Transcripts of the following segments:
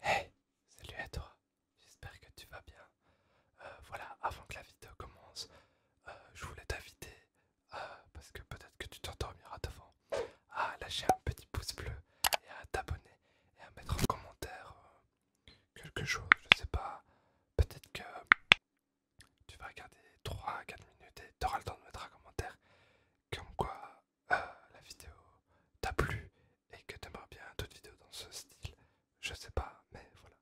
Hey, salut à toi, j'espère que tu vas bien. Euh, voilà, avant que la vidéo commence, euh, je voulais t'inviter, euh, parce que peut-être que tu t'endormiras devant, à lâcher un petit pouce bleu et à t'abonner et à mettre en commentaire quelque chose, je sais pas, peut-être que tu vas regarder 3-4 minutes et t'auras le temps de mettre un commentaire comme quoi ah, la vidéo t'a plu et que aimerais bien d'autres vidéos dans ce style, je sais pas, mais voilà.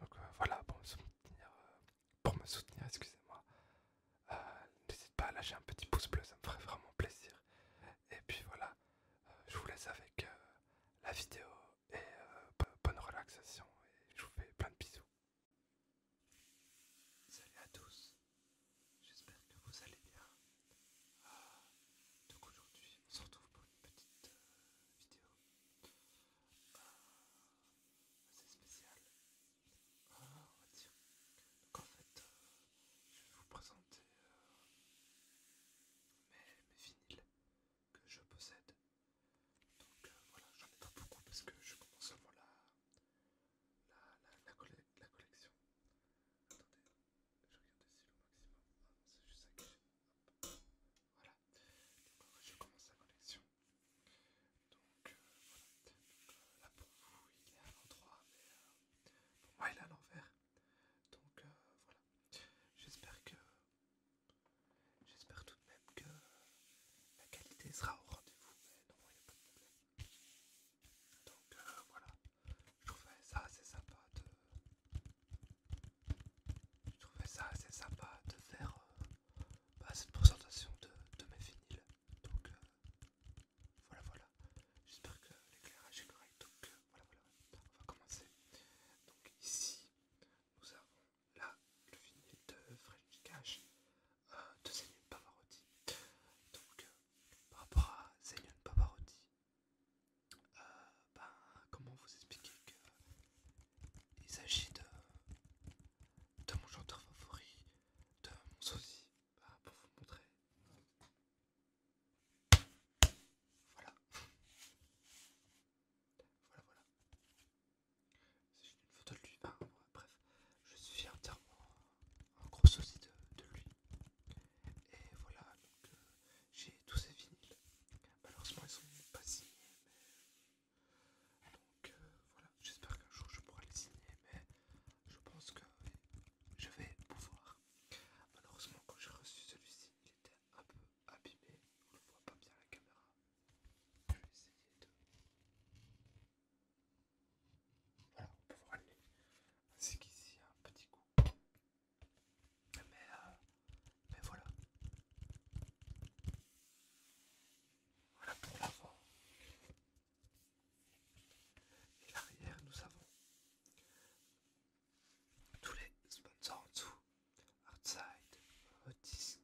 Donc euh, voilà, pour me soutenir, euh, pour me soutenir, excusez-moi, euh, n'hésite pas à lâcher un petit pouce bleu, ça me ferait vraiment plaisir. Et puis voilà, je vous laisse avec la vidéo et bonne relaxation et je vous fais plein de bisous. Salut à tous, J'espère que vous allez bien. Ah, donc aujourd'hui, on se retrouve pour une petite euh, vidéo euh, assez spéciale. Ah, en fait, euh, je vais vous présenter mes, vinyles que je possède. Donc voilà, j'en ai pas beaucoup parce que je commence seulement la, la, la, collection. Attendez, je regarde ici le maximum. Ah, c'est juste ça qui Voilà. Donc, je commence la collection. Donc, euh, voilà. Donc, euh, là, pour vous, il est à l'endroit, mais pour moi, il est à l'envers. Donc, euh, voilà. J'espère que. J'espère tout de même que la qualité sera au rendez-vous, mais non, il n'y a pas de problème. Donc euh, voilà, je trouvais ça assez sympa de... ça assez sympa de faire euh, bah, cette présentation de, mes vinyles. Donc euh, voilà, voilà. J'espère que l'éclairage est correct. Donc voilà, voilà. On va commencer. Donc ici, nous avons là le vinyle de Fresh Cash de Pavarotti. Donc par rapport à Pavarotti, euh, ben, comment vous expliquer qu'il s'agit de, de mon chanteur favori, de mon sosie, bah, pour vous montrer. Voilà. voilà, voilà. C'est une photo de lui, bref, je suis entièrement un gros souci de, lui. Et voilà, donc euh, j'ai tous ces vinyles. Malheureusement, ils sont pas signés, Donc euh, voilà, j'espère qu'un jour je pourrai les signer, mais je pense que je vais pouvoir. Malheureusement, quand j'ai reçu celui-ci, il était un peu abîmé. On le voit pas bien à la caméra. Je vais de. Voilà, on peut voir les Ainsi qu'ici, un petit coup. Ah, mais, euh, mais voilà. Voilà pour l'avant. Et l'arrière, nous avons tous les sponsors en dessous. Outside, hotdisk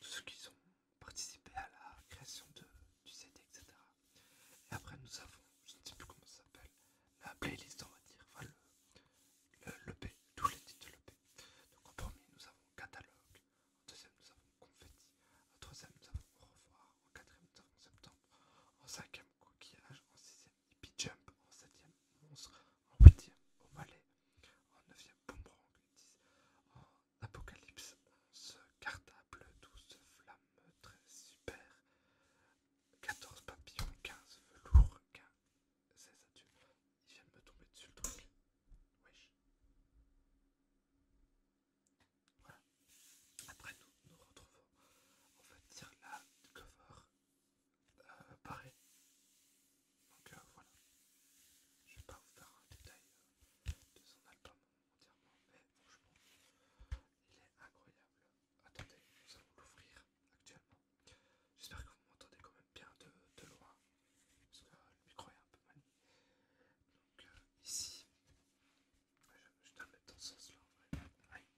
tout ce qu'ils ont participer à la création de, du CD, etc. Et après, nous avons, je ne sais plus comment ça s'appelle, la playlist, on va dire, enfin le, le, tous les titres de Donc, en premier, nous avons Catalogue, en deuxième, nous avons Confetti, en troisième, nous avons Au revoir, en quatrième, nous Septembre, en cinquième, Coquillage, en sixième, Hippie Jump, en septième, Monstre, en huitième, Au Malais, en neuvième, Boomerang, en apocalypse, ce cartable, doux flamme très super, 14 papillons, 15 velours, 15... 16 ça, Il vient de me tomber dessus le truc. Wesh. Voilà. Après, nous nous retrouvons. On va dire la cover pareil. Euh, Donc euh, voilà. Je vais pas vous faire un détail euh, de son album entièrement, mais franchement, il est incroyable. Attendez, nous allons l'ouvrir actuellement. J'espère que vous m'entendez quand même bien de, loin, parce que le micro est un peu mal. Donc ici, je, dois le mettre dans ce sens-là en vrai. Aïe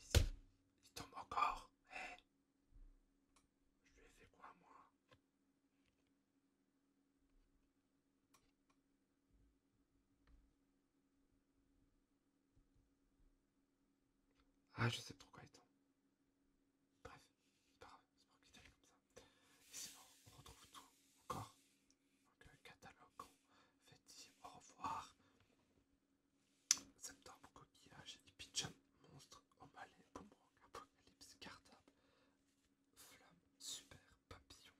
Ici, il tombe encore. Je lui ai fait quoi moi ah, je sais pourquoi il temps. Bref, c'est pas grave, c'est pour qu'il comme ça. Et sinon, on retrouve tout encore. Donc, euh, catalogue, on fait au revoir. Septembre, coquillage, hippie pigeon monstre, au malais, boomerang, apocalypse, cartable, flamme, super, papillon,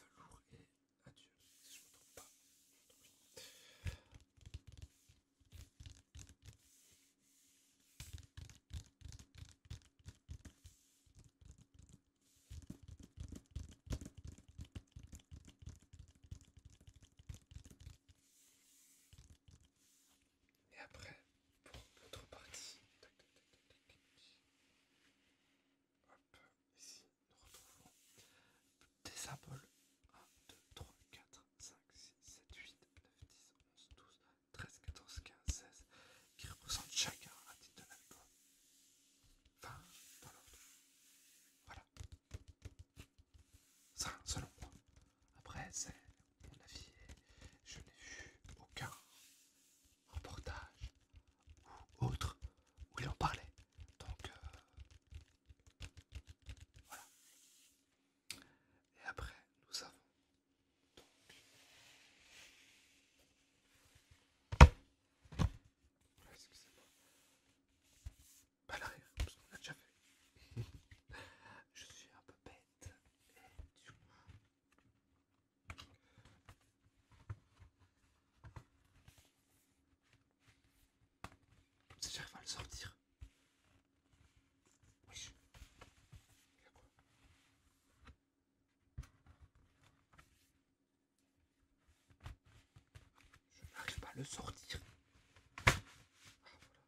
velours et adieu, si je me trompe pas. Et après, pour l'autre partie, ici, nous retrouvons des symboles. 1, 2, 3, 4, 5, 6, 7, 8, 9, 10, 11, 12, 13, 14, 15, 16, qui représentent chacun à titre de l'algo. Voilà. Ça, selon moi, après, c'est mon avis et je n'ai vu aucun reportage ou autre où il en parlait. Donc, euh, voilà. Et après, nous avons Excusez-moi. Pas l'arrière, parce qu'on a déjà fait. je suis un peu bête. Je n'arrive pas j'arrive à le sortir. Je n'arrive pas à le sortir. Ah,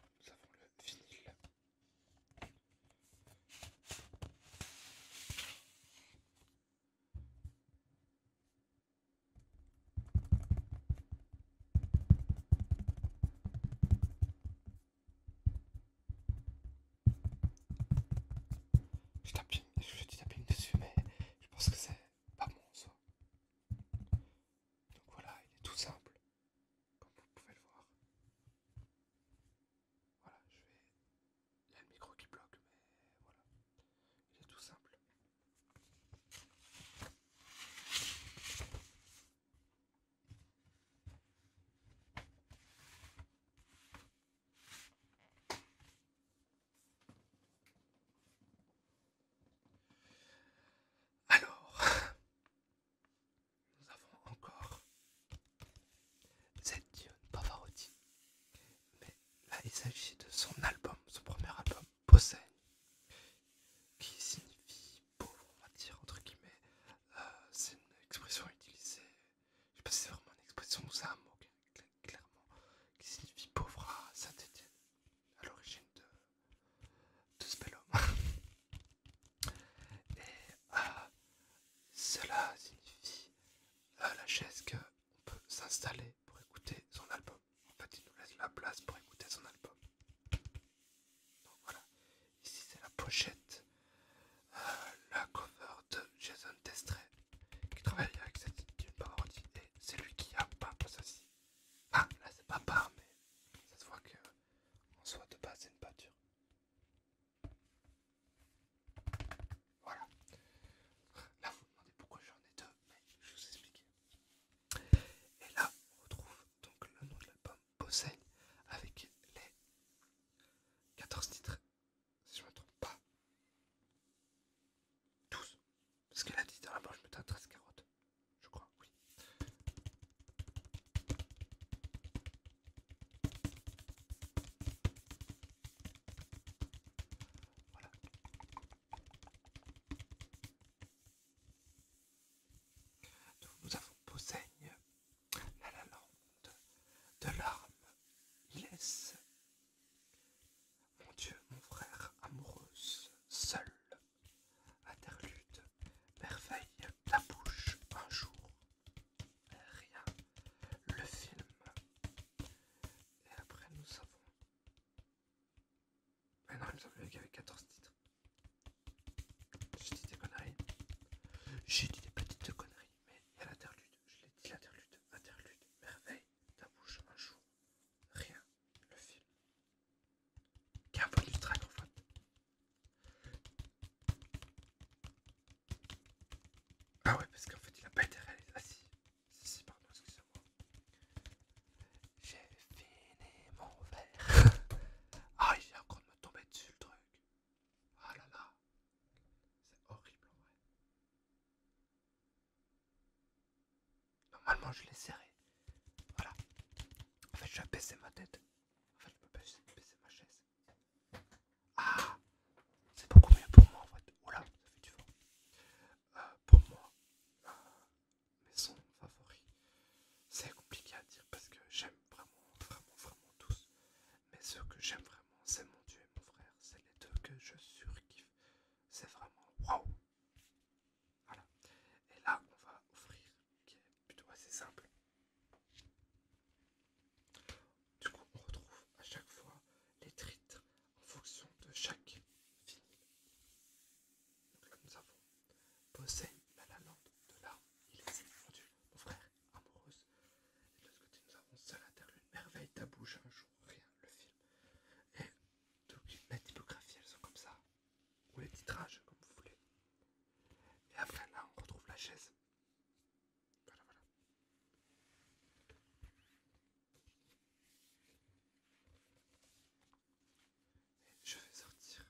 Nous avons le vinyle. Je tape, je dessus, mais je pense que c'est pas bon ça. Donc voilà, il est tout simple, comme vous pouvez le voir. Voilà, je vais... Il y a le micro qui bloque, mais voilà. Il est tout simple. Alors, nous avons encore cette Pavarotti. Mais là, il s'agit de son album, son premier album, Possède, qui signifie pauvre, on va dire, entre guillemets. Euh, c'est une expression utilisée, je sais pas si c'est vraiment une expression ou ça, un mot clairement, qui signifie pauvre à Saint-Étienne, à l'origine de de Et ah, cela signifie ah, la chaise que qu'on peut s'installer pour écouter son album. En fait, il nous laisse la place pour écouter son album. voilà, ici c'est la pochette, euh, la cover de Jason Destray qui travaille avec cette une et c'est lui qui a peint ceci. Ah, là c'est pas par, mais ça se voit que en soit de base c'est une peinture. Voilà. Là vous vous demandez pourquoi j'en ai deux, mais je vous explique. Et là on retrouve donc le nom de l'album Bosseigne avec les 14 titres, si je ne me trompe pas. 12, ce qu'elle a dit dans la me tais 13 carottes. Je crois, oui. Voilà. nous avons Posseigne, la Lande, de l'arme, Laisse mon Dieu, mon frère, amoureuse, seule, interlude, merveille, ta bouche, un jour, rien, le film. Et après nous ah avons... Mais non, il me vu qu'il y avait 14 titres. J'ai dit des conneries. J'ai dit des petites conneries, mais il y a l'interlude. Je l'ai dit, l'interlude, interlude, merveille, ta bouche, un jour, rien le film. le ultra en fait. Ah ouais, parce qu'en fait, il a pas été réalisé. Ah si, si, pardon, excusez-moi. J'ai fini mon verre. ah, il vient encore de me tomber dessus le truc. Ah là là, c'est horrible en vrai. Normalement, je l'ai serré. Voilà. En fait, je vais baisser ma tête. En fait, je peux baisser, ma chaise. Ah C'est beaucoup mieux pour moi en fait. Oula, oh ça fait du euh, pour moi, euh, mes sons favoris, c'est compliqué à dire parce que j'aime vraiment, vraiment, vraiment tous. Mais ceux que j'aime vraiment, c'est mon dieu et mon frère. C'est les deux que je surkiffe c'est vraiment waouh! Voilà. Et là, on va offrir, qui est plutôt assez simple. Du coup, on retrouve à chaque fois les titres en fonction de chaque film. nous avons Bossé, La La de là, il est mon mon frère, amoureuse. Et de ce côté, nous avons Seul une Merveille, Ta bouche, un jour, rien, le film. Et donc, la typographie, elles sont comme ça. Ou les titrages, comme vous voulez. Et après là, on retrouve la chaise. Voilà, voilà. Et je vais sortir.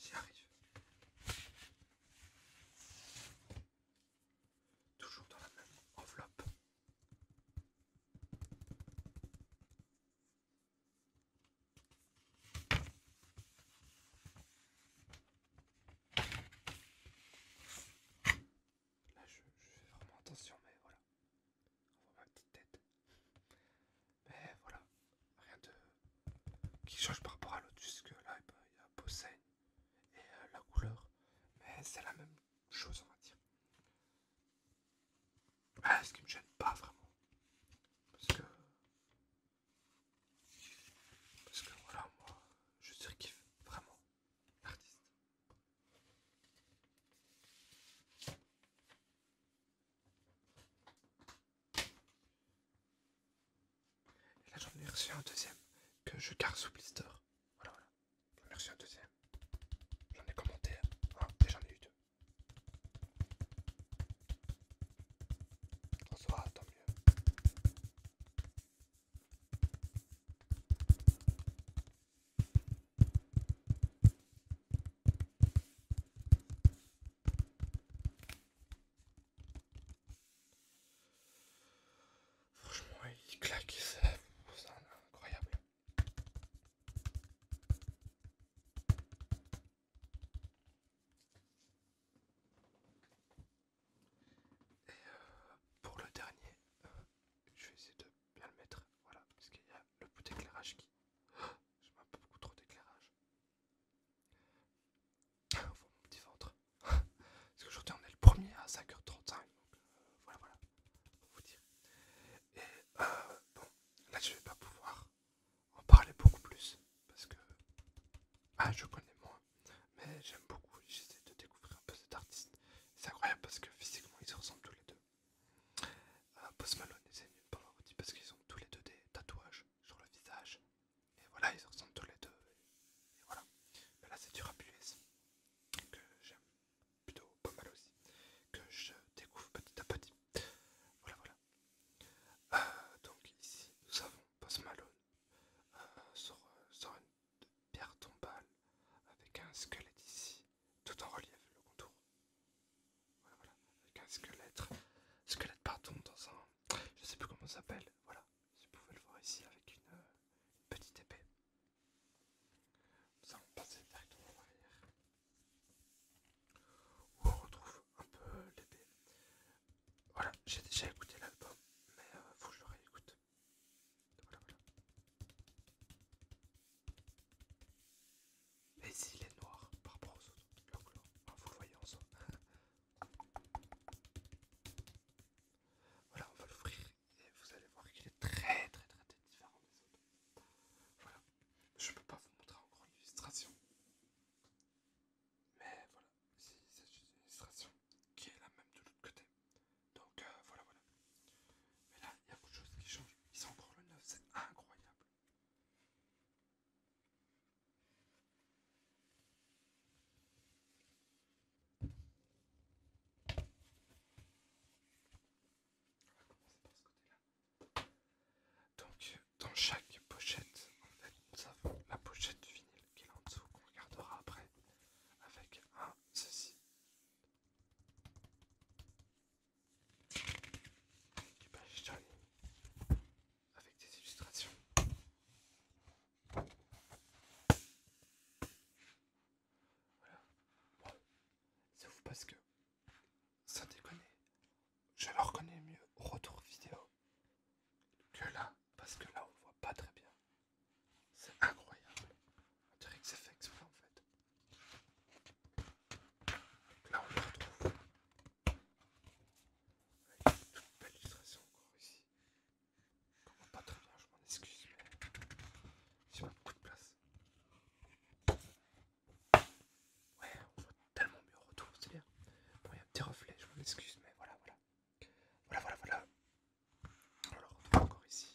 J'y arrive. Toujours dans la même enveloppe. Là je, fais vraiment attention mais voilà. On voit ma petite tête. Mais voilà, rien de qui change par rapport à l'autre, jusque là il y a possède et euh, la couleur, mais c'est la même chose on va dire. Ah, ce qui me gêne pas vraiment, parce que parce que voilà moi je surkiffe vraiment l'artiste là, j'en ai reçu un deuxième que je garde sous blister. Voilà, voilà. J'en ai reçu un deuxième. J'en ai commenté et j'en ai eu deux. En tant mieux. Franchement, il claque, c'est incroyable. Et euh, pour le dernier, euh, je vais essayer de bien le mettre. Voilà, parce qu'il y a le bout d'éclairage qui. Je mets un peu beaucoup trop d'éclairage petit ventre. Parce qu'aujourd'hui on est le premier à 5h35. Euh, voilà, voilà. Et euh, bon, là je vais pas pouvoir en parler beaucoup plus. Parce que ah, je connais moins. Mais j'aime beaucoup. J'essaie de découvrir un peu cet artiste. C'est incroyable parce que physiquement ils se ressemblent tous les deux. Euh, Post Malone et pour pendant parce qu'ils ont tous les deux des tatouages sur le visage. Et voilà, ils ressemblent tous les deux. Et, voilà. là, c'est du rap US que j'aime plutôt pas mal aussi, que je découvre petit à petit. Voilà, voilà. Euh, donc ici, nous avons Post Malone euh, euh, sur, une pierre tombale avec un squelette ici, tout en relief, le contour. Voilà, voilà, avec un squelette, squelette pardon, dans un je sais plus comment ça s'appelle. Voilà, vous pouvez le voir ici avec une, euh, petite épée. Nous allons passer directement en arrière où on retrouve un peu l'épée. Voilà, j'ai déjà écouté l'album, mais il euh, faut que je le réécoute. Voilà, voilà. Mais il est noir par rapport aux autres, vous le voyez en Voilà, on va l'ouvrir et vous allez voir qu'il est très, très, très, très différent des autres. Voilà, je peux pas vous montrer encore l'illustration, mais voilà, c'est une illustration qui est la même de l'autre côté. Donc euh, voilà, voilà. Mais là, il y a beaucoup de choses qui changent. Ils sont encore le neuf, c'est incroyable. Donc, dans chaque pochette, en nous avons la pochette du vinyle qui est en dessous, qu'on regardera après, avec un ceci avec des illustrations. Voilà. c'est ouf parce que, Ça déconne. je le reconnais mieux au retour vidéo que là, parce que là on voit pas très bien. C'est incroyable. On que c'est fait en fait là, on le retrouve a une toute belle illustration encore ici. Comment pas très bien, je m'en excuse, mais j'ai pas beaucoup de place. Ouais, on voit tellement mieux au retour, c'est bien. Bon, il y a un petit reflet, je m'en excuse, mais voilà, voilà. Voilà, voilà, voilà. On le retrouve encore ici.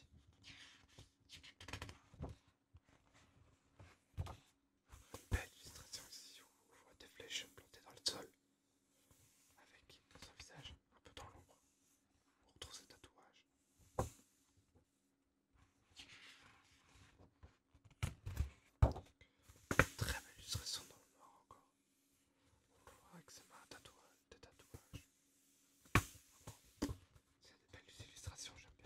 Une belle illustration ici où on voit des flèches plantées dans le sol avec son visage un peu dans l'ombre. On retrouve ses tatouages. Très belle illustration dans le noir encore. On voit avec ses mains tatouages, tatouage. C'est des belles illustrations, j'aime bien.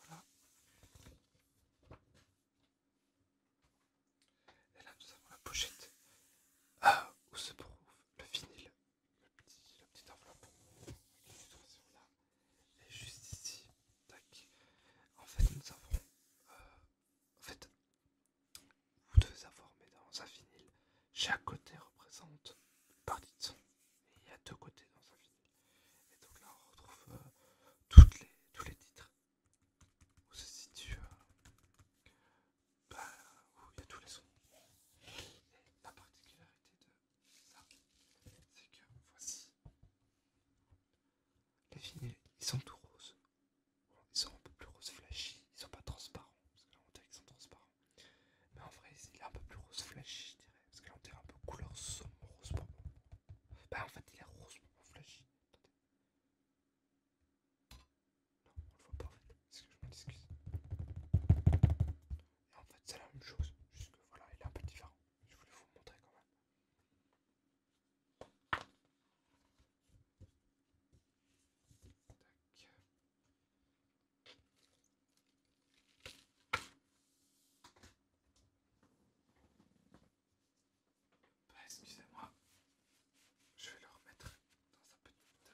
Voilà. Et là, nous avons la pochette ah, où se trouve le vinyle, la petite enveloppe. Là. Et juste ici, En fait, nous avons. Euh, en fait, vous devez avoir, dans un vinyle. Chaque côté représente par partie et il y a deux côtés dans sa vie. Et donc là, on retrouve euh, tous les titres où se situe. Euh, bah, où il y a tous les sons. Et la particularité de ça, c'est que voici les vignettes, ils sont tout roses. Ils sont un peu plus roses flashy, ils sont pas transparents, on dirait qu'ils sont transparents. Mais en vrai, il est un peu plus rose flashy, je dirais. Parce qu'elle en terre un peu couleur sombre rose bonbon. Bah, en fait, il est rose bonbon flashy. Non, on le voit pas en fait. est que je m'en excuse Et en fait, c'est la même chose. Juste que voilà, il est un peu différent. Je voulais vous montrer quand même. Tac. Bah, excusez-moi, je vais le remettre dans un petit.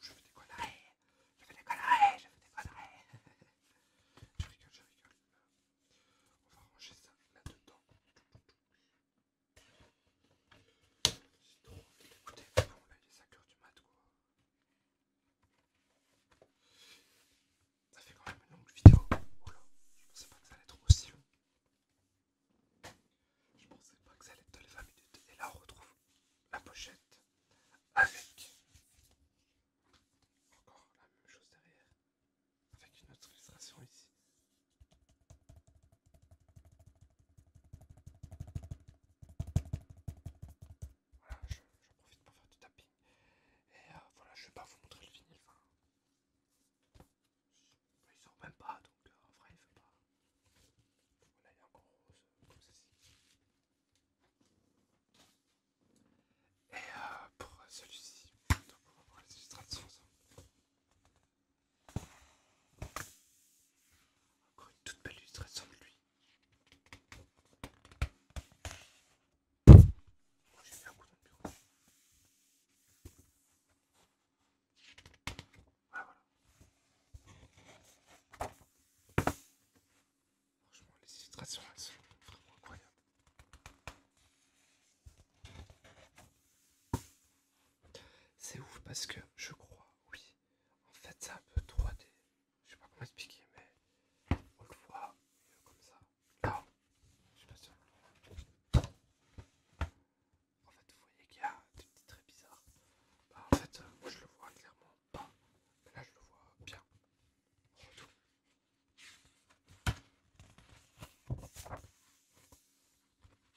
Je y des je vais décoller. je vais décoller, je vais décoller je rigole, je rigole. On va ranger ça là-dedans trop envie d'écouter. Bon, là, il est du mat, Ça fait quand même une longue vidéo. Oh là, je pensais pas que ça allait être aussi long. Je pensais pas que ça allait être les 20 minutes. Et là, on retrouve la pochette avec encore la même chose derrière, avec une autre illustration ici. Voilà, j'en je profite pour faire du tapping. Et voilà, je vais pas vous montrer le vinyle. Enfin, il sort même pas, donc en vrai il fait pas. Voilà, il est encore rose comme ceci. Et pour celui-ci, donc on va voir les illustrations encore une toute belle illustration de lui. Oh, j'ai fait un coup de le bureau. Voilà, ah, voilà. Franchement, les illustrations, elles sont vraiment incroyables. C'est ouf parce que je crois, oui. En fait, c'est un peu 3D. Je sais pas comment expliquer, mais on le voit euh, comme ça. Là, je suis pas sûr. En fait, vous voyez qu'il y a des petits traits bizarres. Bah, en fait, euh, moi je le vois clairement pas. Mais là, je le vois bien.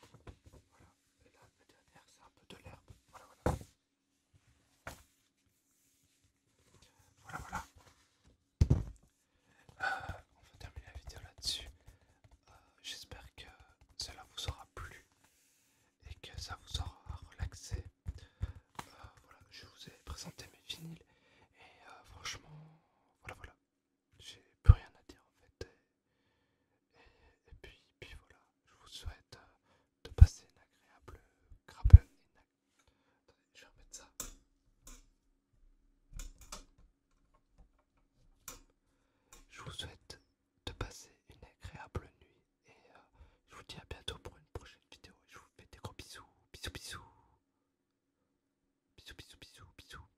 Voilà, et là, la dernière, c'est un peu de l'herbe. Voilà, voilà. Voilà, voilà. on va terminer la vidéo là-dessus. J'espère que cela euh, vous aura plu et que ça vous aura relaxé. voilà, je vous ai présenté mes vinyles et euh, franchement, voilà, voilà j'ai plus rien à dire en fait. Et, puis, puis voilà, je vous souhaite euh, de passer une agréable nuit. Je ça. Je vous souhaite de passer une agréable nuit et euh, je vous dis à bientôt pour une prochaine vidéo. Je vous fais des gros bisous, bisous, bisous, bisous, bisous, bisous, bisous.